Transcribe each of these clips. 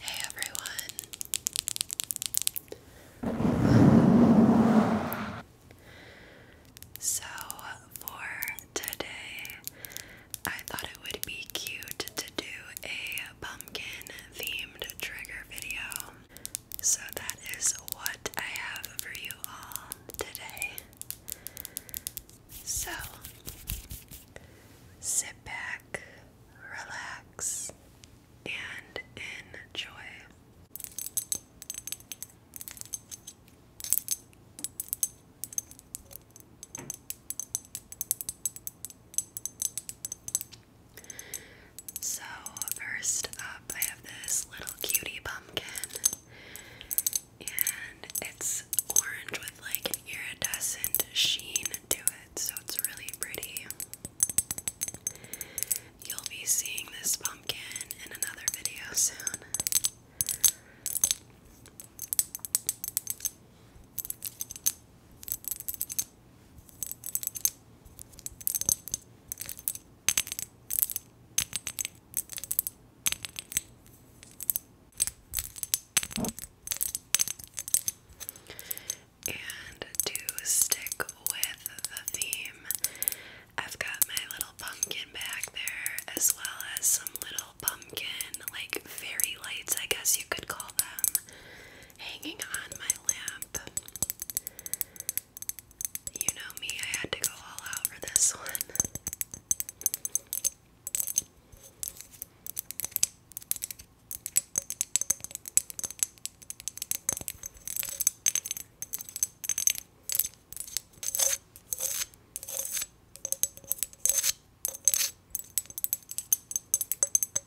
Hey everyone. So, for today, I thought it would be cute to do a pumpkin themed trigger video. So that is what I have for you all today. So sit back, relax, and enjoy. So, first up, I have this little cutie pumpkin, and it's orange with like an iridescent sheen to it, so it's really pretty. You'll be seeing this pumpkin in another video soon. And to stick with the theme, I've got my little pumpkin back there, as well as some little pumpkin, like fairy lights, I guess you could call them, hanging on my lamp. You know me, I had to go all out for this one.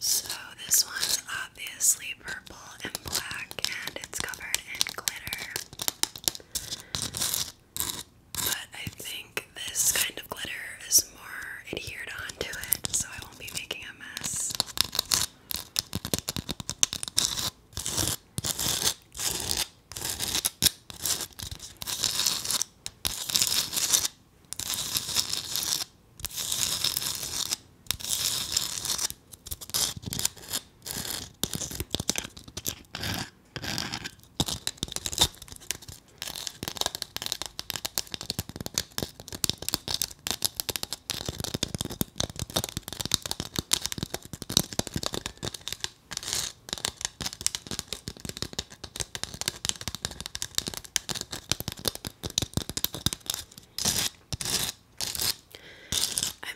So, this one's obviously purple and black, and it's covered in glitter. But I think this kind of glitter is more adhered onto it, so I won't be making a mess. I'm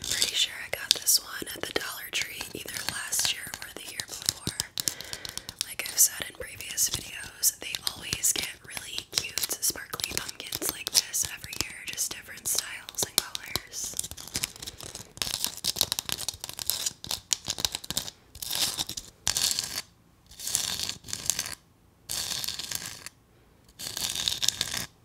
pretty sure I got this one at the Dollar Tree either last year or the year before. Like I've said in previous videos, they always get really cute, sparkly pumpkins like this every year, just different styles and colors.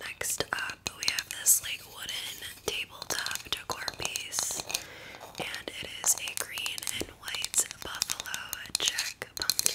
Next up, we have this like wooden tabletop decor piece, and it is a green and white buffalo check pumpkin.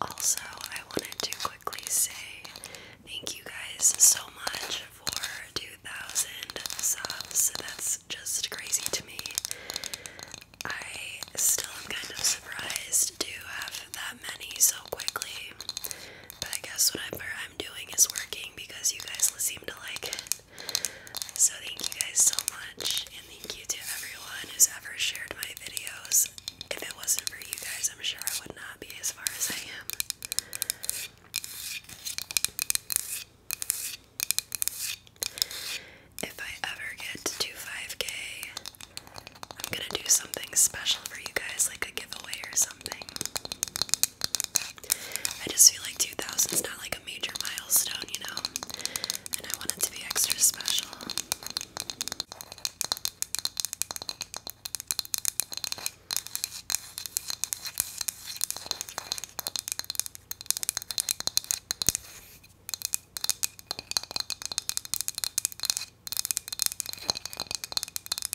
Also, I wanted to quickly say thank you guys so much for 2,000 subs. That's just crazy to me. I still am kind of surprised to have that many so quickly. But I guess whatever I'm doing is working because you guys seem to like it. So thank you guys so much, and thank you to everyone who's ever shared my videos. If it wasn't for you guys, I'm sure I would not be as far as I am. If I ever get to 5k, I'm gonna do something special for you guys, like a giveaway or something. I just feel like 2000 is not like a major milestone, you know? And I want it to be extra special.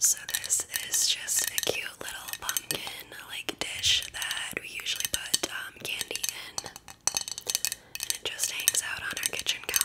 So this is just a cute little pumpkin like dish that we usually put um, candy in. And it just hangs out on our kitchen counter.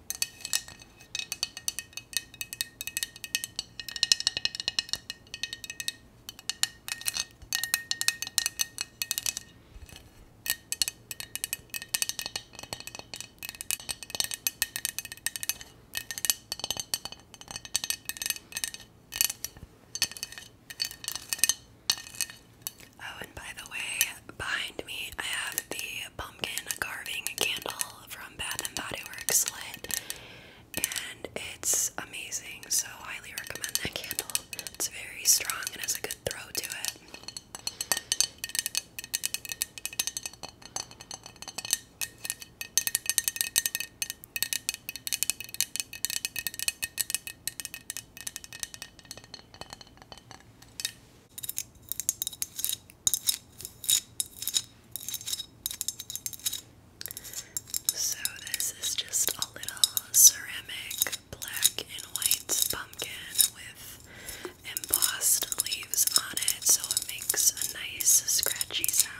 Oh, and by the way, behind me I have the pumpkin carving candle from Bath and Body Works lit, and it's amazing. So highly recommend that candle. It's very strong and has a good throw to it. So, this is just a little ceramic black and white pumpkin with embossed leaves on it, so it makes a nice scratchy sound.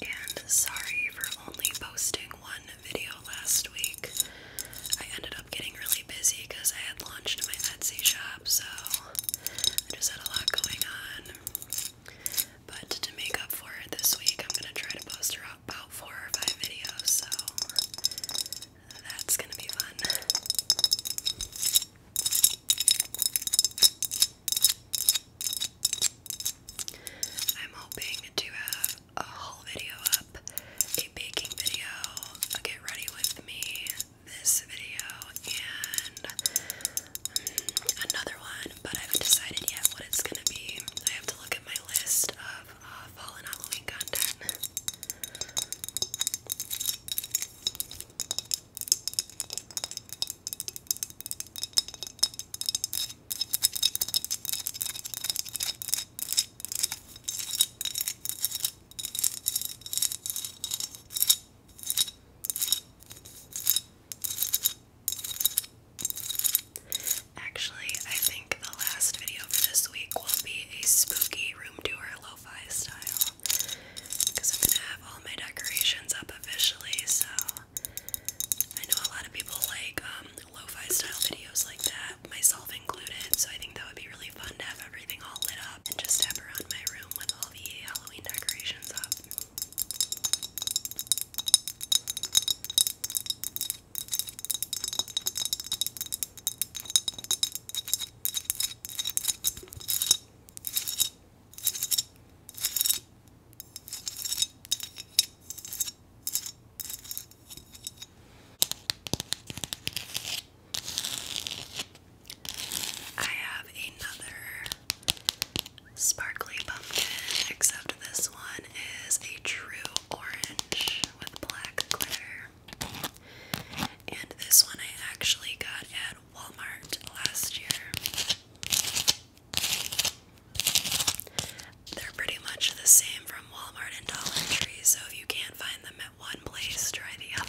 And sorry for only posting one video last week. I ended up getting really busy because I had launched my Etsy shop, so I just had a lot going on. But to make up for it this week, I'm gonna try to post about four or five videos, so that's gonna be fun. I'm hoping to have a whole video up, a baking video, a get ready with me, this video, and mm, another one, but I haven't decided yet what it's gonna be. I have to look at my list of uh, fall and Halloween content. Actually, I think the last video for this week will be a spooky room tour lo-fi style because I'm gonna have all my decorations up officially. So I know a lot of people like um, lo-fi style videos like that, myself included. So I think that would be really fun to have everything all lit up and just step around my room with all the Halloween decorations up. I have another sparkly pumpkin, except this one is a true orange with black glitter. And this one I actually got at Walmart last year. They're pretty much the same from Walmart and Dollar Tree, so if you can't find them at one place, try the other.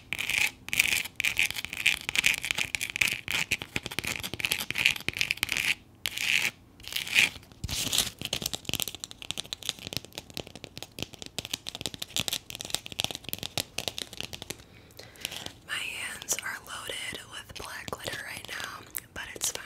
My hands are loaded with black glitter right now, but it's fine.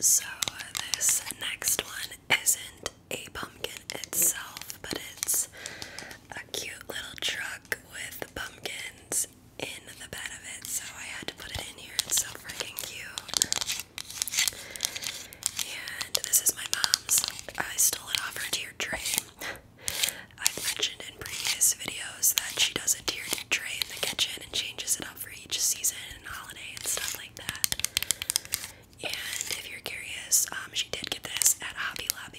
So, this next one isn't a pumpkin itself, but it's a cute little truck with pumpkins in the bed of it. So, I had to put it in here. It's so freaking cute. And this is my mom's. I stole it off her Dear Train. I've mentioned in previous videos that she does a tiered tray in the kitchen and changes it up for each season and holiday and stuff like that. And if you're curious, um, she did get this at Hobby Lobby.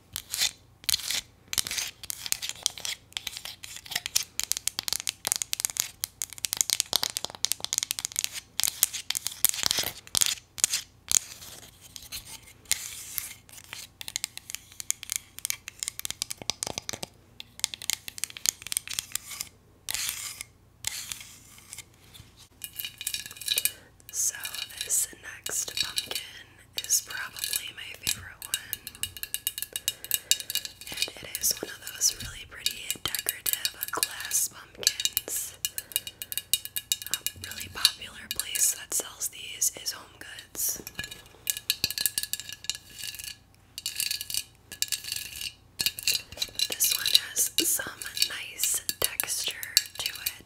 So, this next pumpkin is probably my favorite one. And it is one of those really pretty decorative glass pumpkins. A um, really popular place that sells these is Home Goods. This one has some nice texture to it.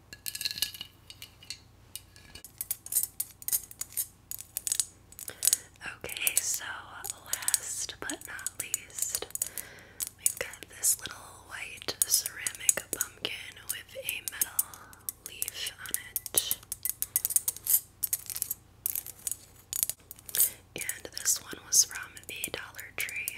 Okay, so last but not least, we've got this little white ceramic pumpkin with a metal leaf on it. And this one was from the Dollar Tree.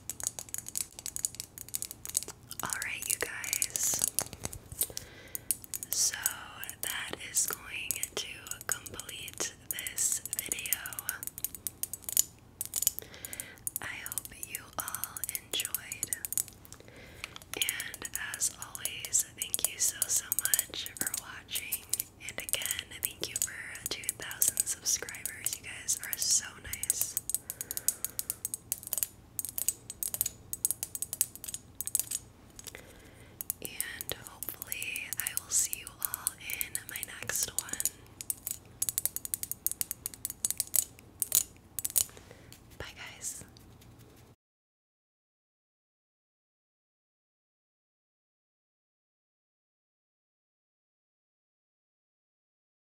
Alright, you guys. So that is going to complete this video. I hope you all enjoyed. And as always, thank you so, so much for watching. And again, thank you for 2,000 subscribers. You guys are so nice. And hopefully, I will see you all in my next one. Bye, guys.